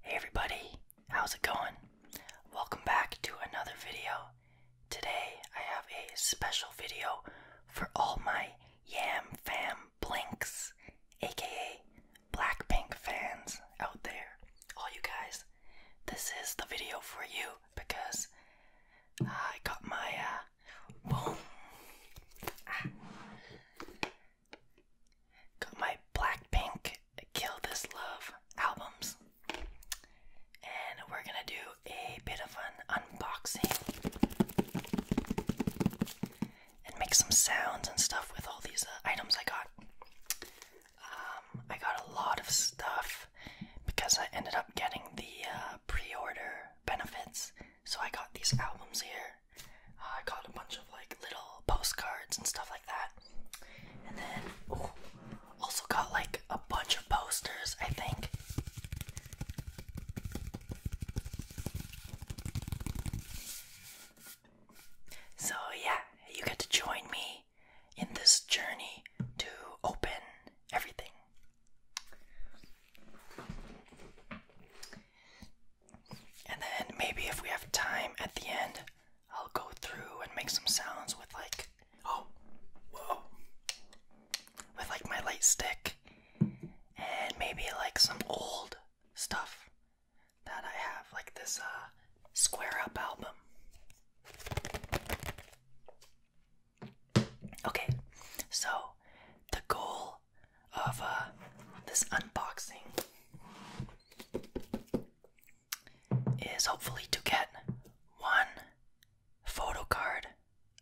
Hey everybody, how's it going? Welcome back to another video. Today I have a special video for all my Yam Fam Blinks, aka Blackpink fans out there. All you guys, this is the video for you because I got my uh, Boom. Ah. Got my Blackpink Kill This Love albums. And we're gonna do a bit of an unboxing and make some sounds and stuff with all these uh, items I got. Um, I got a lot of stuff because I ended up getting the uh, pre order benefits so I got these albums here. Uh, I got a bunch of like little postcards and stuff like that. And then ooh, also got like a bunch of posters, I think. So yeah, you get to join me in this journey to open everything. And then maybe if we have time at the end, I'll go through and make some sounds with like oh with like my light stick and maybe like some old stuff that I have like this uh square up album. Okay, so the goal of uh, this unboxing is hopefully to get one photo card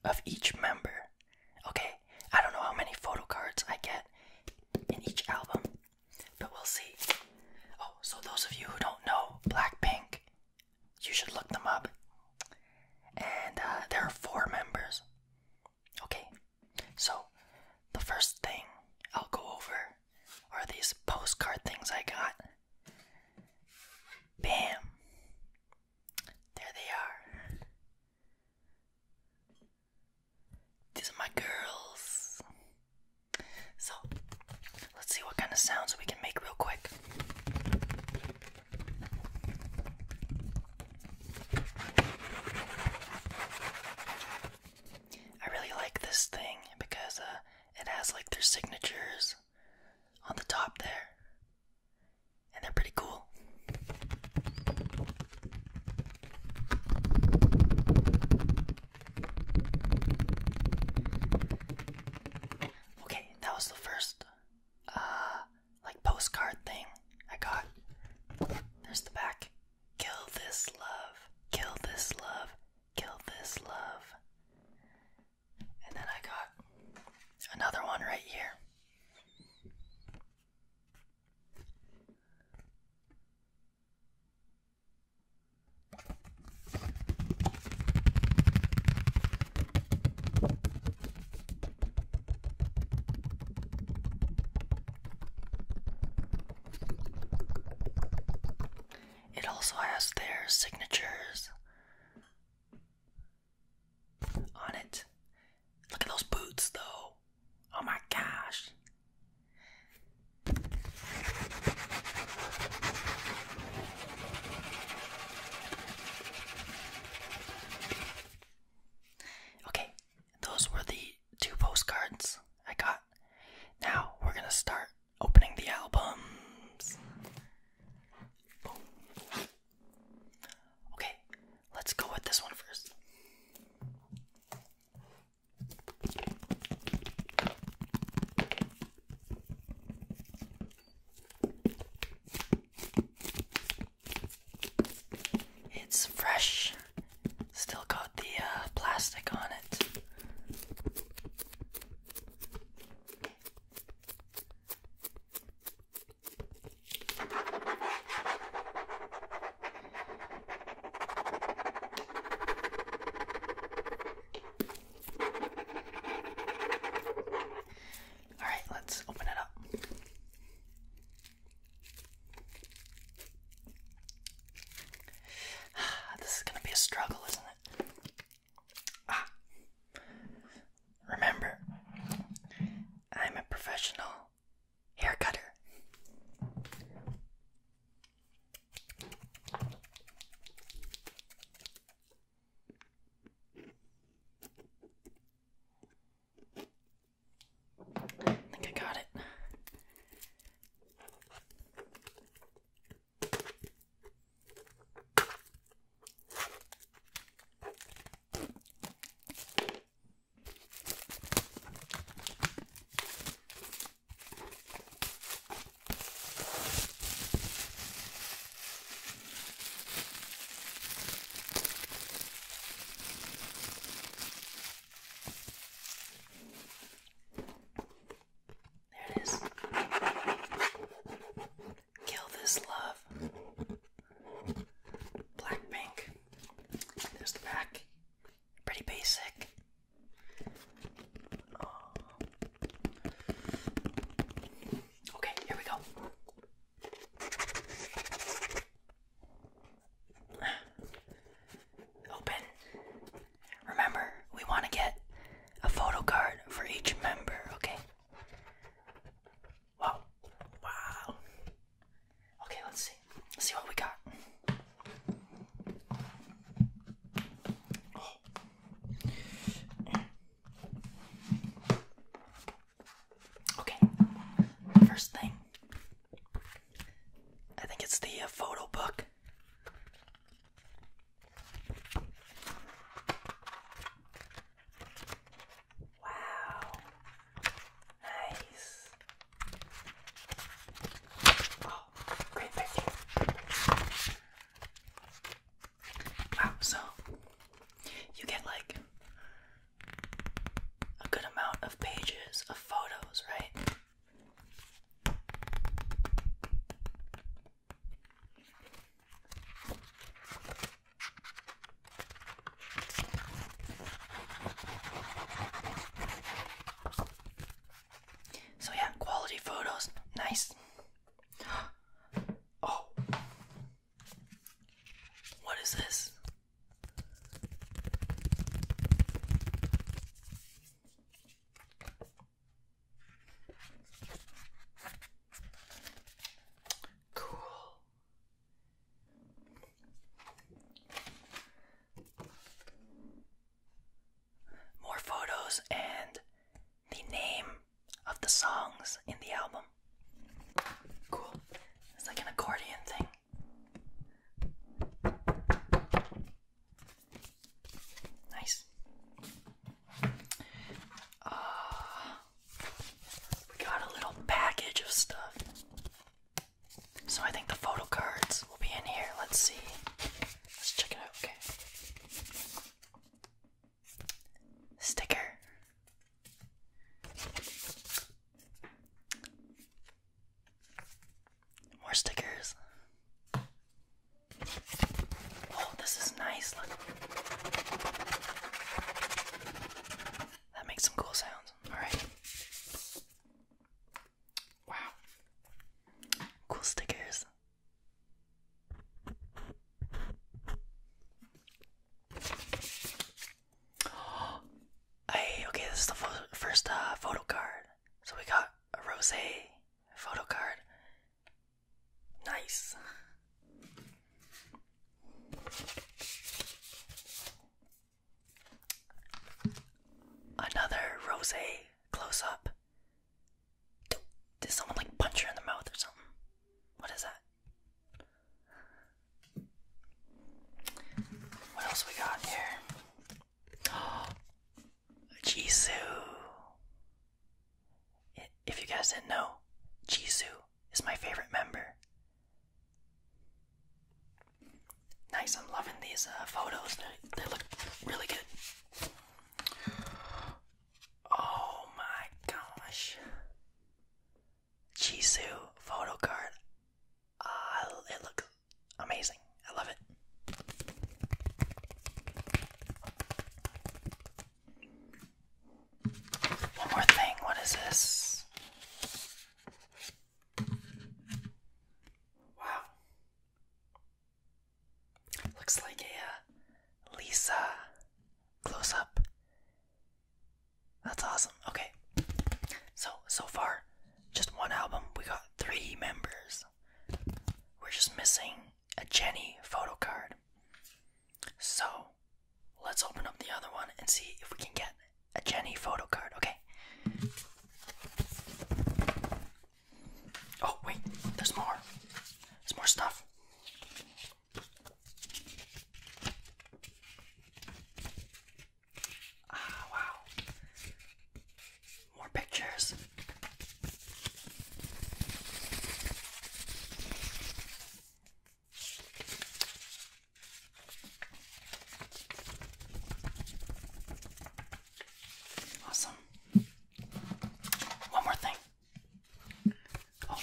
of each member. Okay, I don't know how many photo cards I get in each album, but we'll see. Oh, so those of you who don't know Blackpink, you should look them up and uh, there are four members. Okay, so the first thing I'll go over are these postcard things I got. Bam! There they are. These are my girls. So, let's see what kind of sounds we can make real quick. I really like this thing because uh, it has like their signatures on the top there, and they're pretty cool. Okay, that was the first uh, like postcard thing I got. There's the back. Kill this love, kill this love, kill this love. And then I got another one right here. It also has their signatures on it. Look at those boots, though. Oh my gosh. Okay, those were the two postcards I got. Now we're gonna start opening the albums. Okay, let's go with this one first. It's fresh. Still got the uh, plastic on it. All right, let's open it up. This is gonna be a struggle, isn't it? Ah. Remember, I'm a professional hair cutter. I think I got it. There it is. Kill this love. Blackpink. There's the back. Pretty basic. Okay, here we go. Open. Remember, we want to get a photo card for each member, okay? Wow. Wow. Okay, let's see. Let's see what we got. Okay, first thing. I think it's the uh, photo book. Wow. Nice. Oh, great picture. Wow, so you get like a good amount of pages of photos, right? So, yeah, quality photos, nice. Oh. What is this? Cool more photos, and the name of the songs in the album. Cool. It's like an accordion thing. Nice. Uh, we got a little package of stuff. So I think the photo cards will be in here. Let's see. Let's check it out. Okay sticker. More stickers. Oh, this is nice. Look. That makes some cool sounds. Alright. Wow. Cool stickers. okay, this is the first uh, photo card. So we got a rose photo card. Nice. Another rose close up. Did someone like punch her in the mouth or something? What is that? What else we got here? Jisoo. If you guys didn't know, Jisoo is my favorite member. Nice, I'm loving these uh, photos. they look really good. Oh my gosh. Jisoo photo card. Uh, it looks amazing. I love it. One more thing. What is this? Wow. Looks like a uh, Lisa close up. That's awesome. Okay. So, so far, just one album. We got three members. We're just missing a Jenny photo card. So, let's open up the other one and see if we can get a Jenny photo card. Okay. Oh, wait, there's more. There's more stuff. Ah, wow. More pictures. Awesome. One more thing. Oh.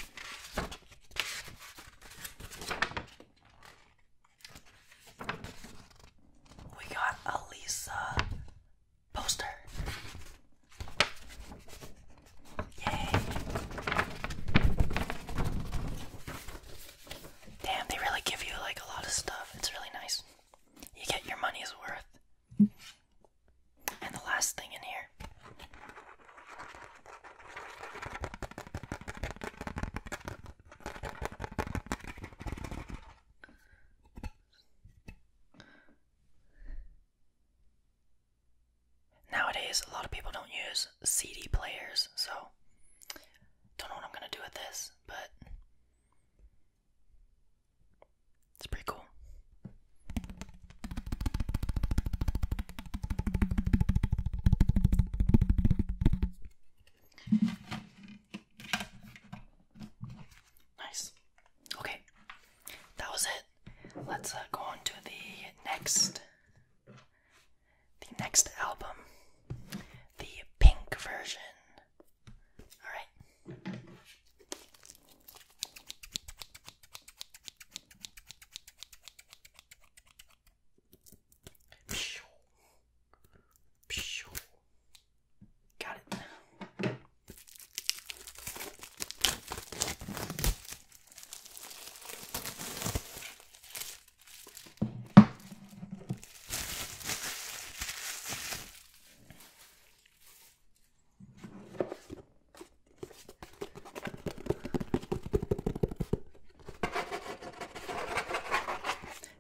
We got a poster. Yay. Damn, they really give you like a lot of stuff. It's really nice. You get your money's worth. And the last thing in here nowadays a lot of people don't use CD players so don't know what I'm gonna do with this but it's pretty cool. Nice. Okay, that was it. Let's uh, go on to the next, the next album, the pink version all right. Pew. Pew. Got it.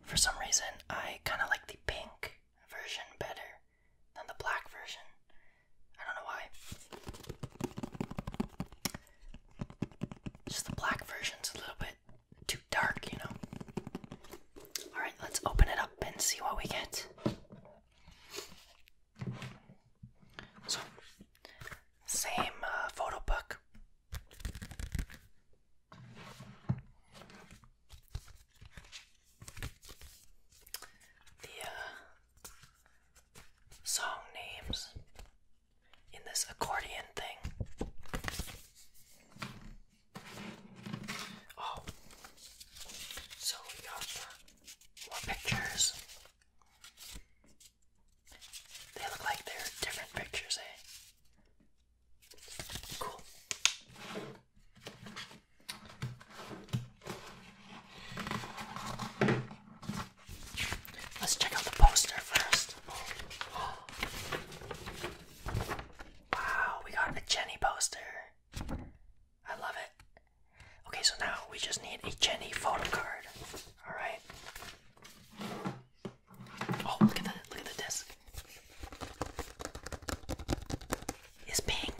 For some reason, I kind of like the pink version better than the black version. I don't know why. Just the black version's a little bit too dark, you know. All right, let's open it up and see what we get. So, same uh, photo book. The uh, song names in this accordion thing. Oh, so we got more pictures. They look like they're different pictures, eh? Cool. Let's check out the poster first. Wow, we got a Jenny poster. I love it. Okay, so now we just need a Jenny photo card. Alright. Oh, look at that! look at the disc. It's pink.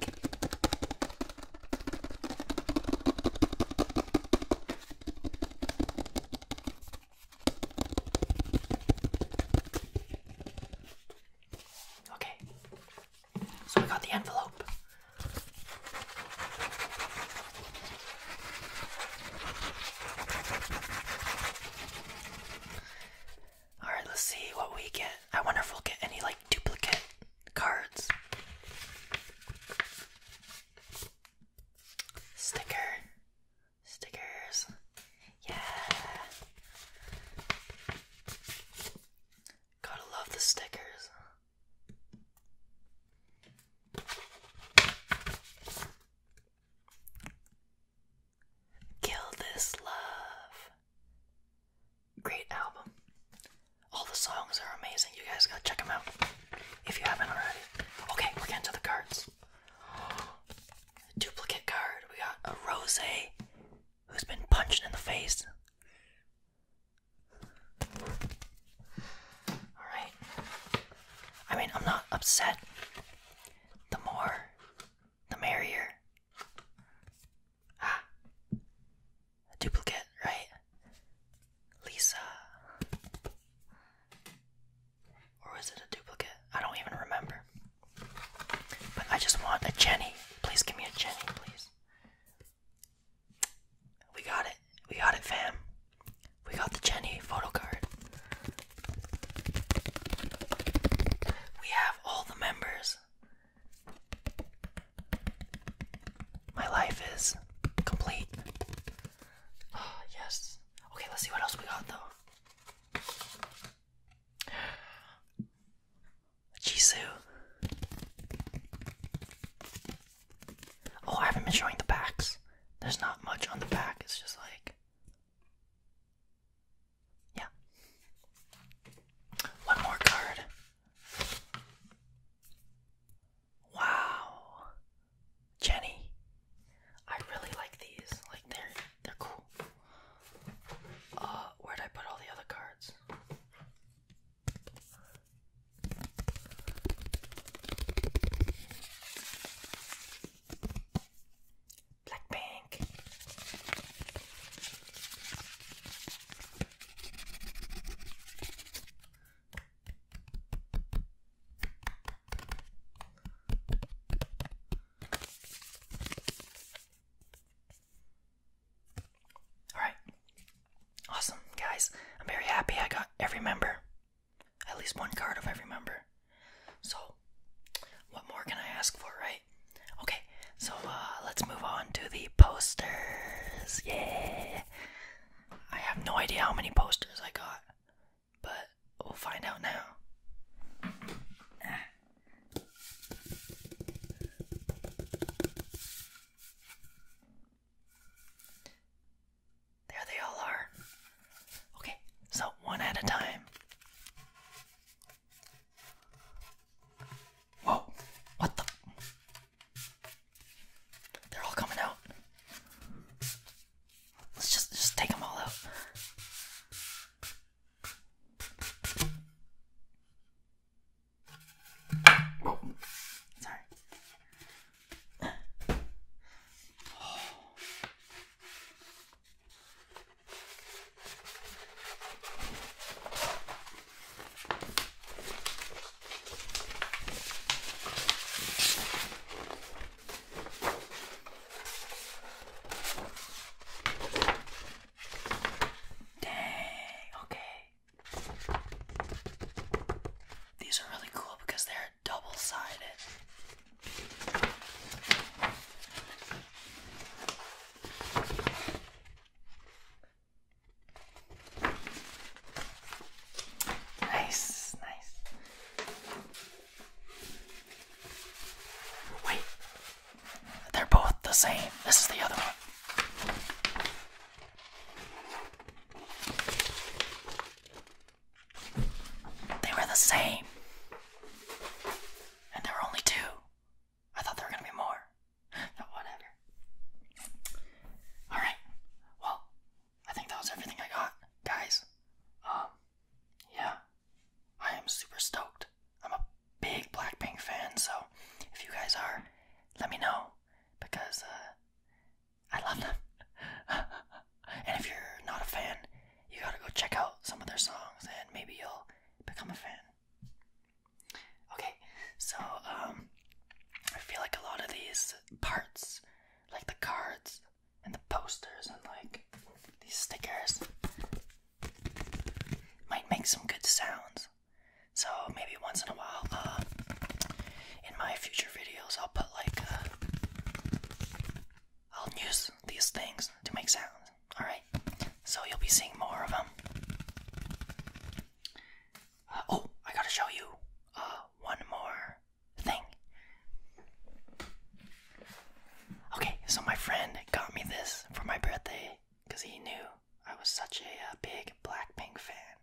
Okay, so we got the envelope. All right, let's see what we get. I wonder if we'll get any like duplicate cards. Sticker stickers. Yeah. Gotta love the stickers. Kill This Love. Great album. All the songs are amazing. You guys gotta check them out if you haven't already. Okay, we're getting to the cards. Duplicate card. We got a Rose who's been punching in the face. Alright. I mean, I'm not upset. The more, the merrier. Ah. A duplicate, right? Lisa. Or was it a duplicate? I don't even remember. But I just want a Jenny. Please give me a Jenny, please. We got it. We got it, fam. We got the Jenny photo card. We have all the members. My life is complete. Oh, yes. Okay, let's see what else we got, though. Jisoo. Oh, I haven't been showing the backs. There's not much on the back, it's just like. Yeah. One more card. Wow. Jenny. I really like these. Like they're they're cool. Uh, where'd I put all the other cards? Blackpink. Alright. Awesome, guys. I'm very happy I got every member. At least one card of every member. So, what more can I ask for, right? Okay, so uh, let's move on to the posters. Yeah! I have no idea how many posters I got but we'll find out now. There they all are. Okay, so one at a time. Whoa, what the? They're all coming out. Let's just just take them all out. Sorry. Dang, okay. These are really cool because they're double sided. Nice, nice. Wait, they're both the same. This is the other one. They were the same. And there were only two. I thought there were gonna be more. No, whatever. Alright, well, I think that was everything I got, guys. Um, yeah, I am super stoked. I'm a big Blackpink fan, so if you guys are, let me know because uh, I love them. and if you're not a fan, you gotta go check out some of their songs and maybe you'll become a fan. Okay, so um, I feel like a lot of these parts, like the cards, and the posters and like these stickers might make some good sounds. So maybe once in a while, uh, in my future videos, I'll put like, uh, I'll use these things to make sounds. All right, so you'll be seeing more of them. Uh, oh, I gotta show you uh, one more thing. Okay, so my friend got me this for my birthday because he knew I was such a uh, big Blackpink fan.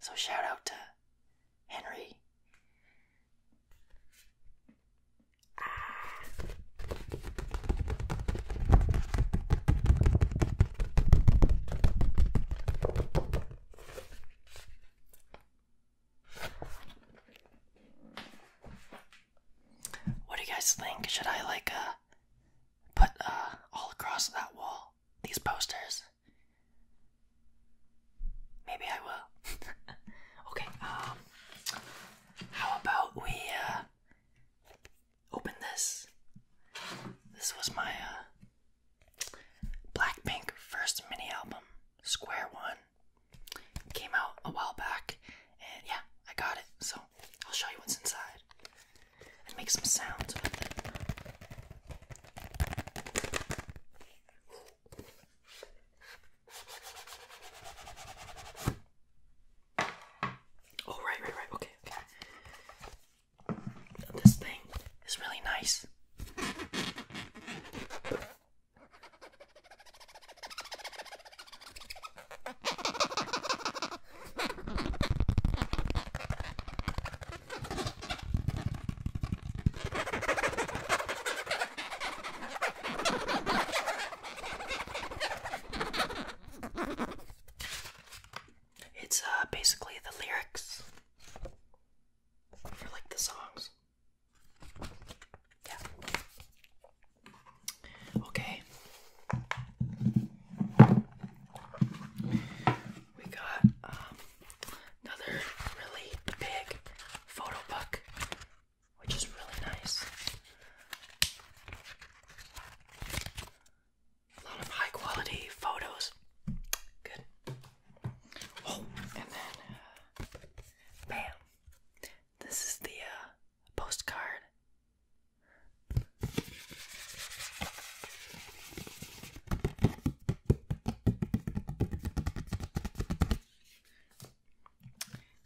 So shout out to Henry. What do you guys think? Should I like uh put uh all across that wall these posters? Maybe I will. okay. Um how about we uh open this? This was my uh Blackpink first mini album, Square One, came out a while back, and yeah, I got it. So I'll show you what's inside and make some sounds with it. Oh right, right, right. Okay, okay. This thing is really nice. It's uh, basically the lyrics for like the songs. Yeah. Okay. We got um, another really big photo book, which is really nice. A lot of high quality photos. Good. Oh, and then, uh, bam! This is the uh, postcard.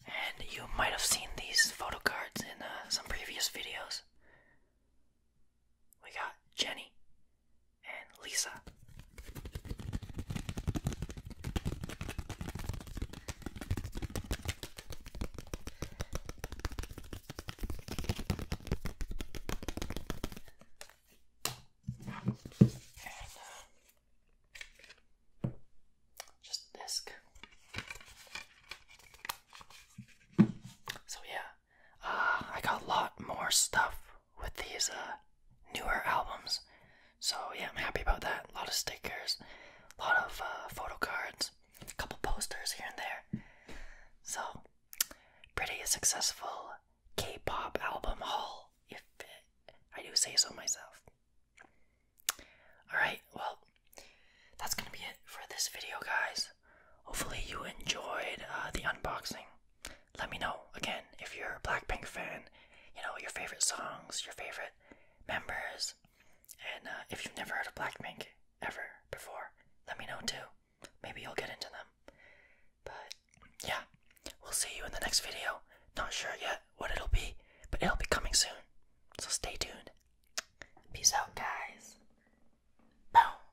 And you might have seen these photo cards in uh, some previous videos. We got Jenny and Lisa. Uh, just disc. So, yeah, Ah, I got a lot more stuff with these uh, newer albums. So yeah, I'm happy about that. A lot of stickers, a lot of uh, photo cards, a couple posters here and there. So pretty successful K-pop album haul, if it, I do say so myself. All right, well that's gonna be it for this video, guys. Hopefully, you enjoyed uh, the unboxing. Let me know again if you're a Blackpink fan, you know, your favorite songs, your favorite members, and uh, if you've never heard of Blackpink ever before, let me know too. Maybe you'll get into them. But yeah, we'll see you in the next video. Not sure yet what it'll be, but it'll be coming soon. So stay tuned. Peace out, guys. Boom.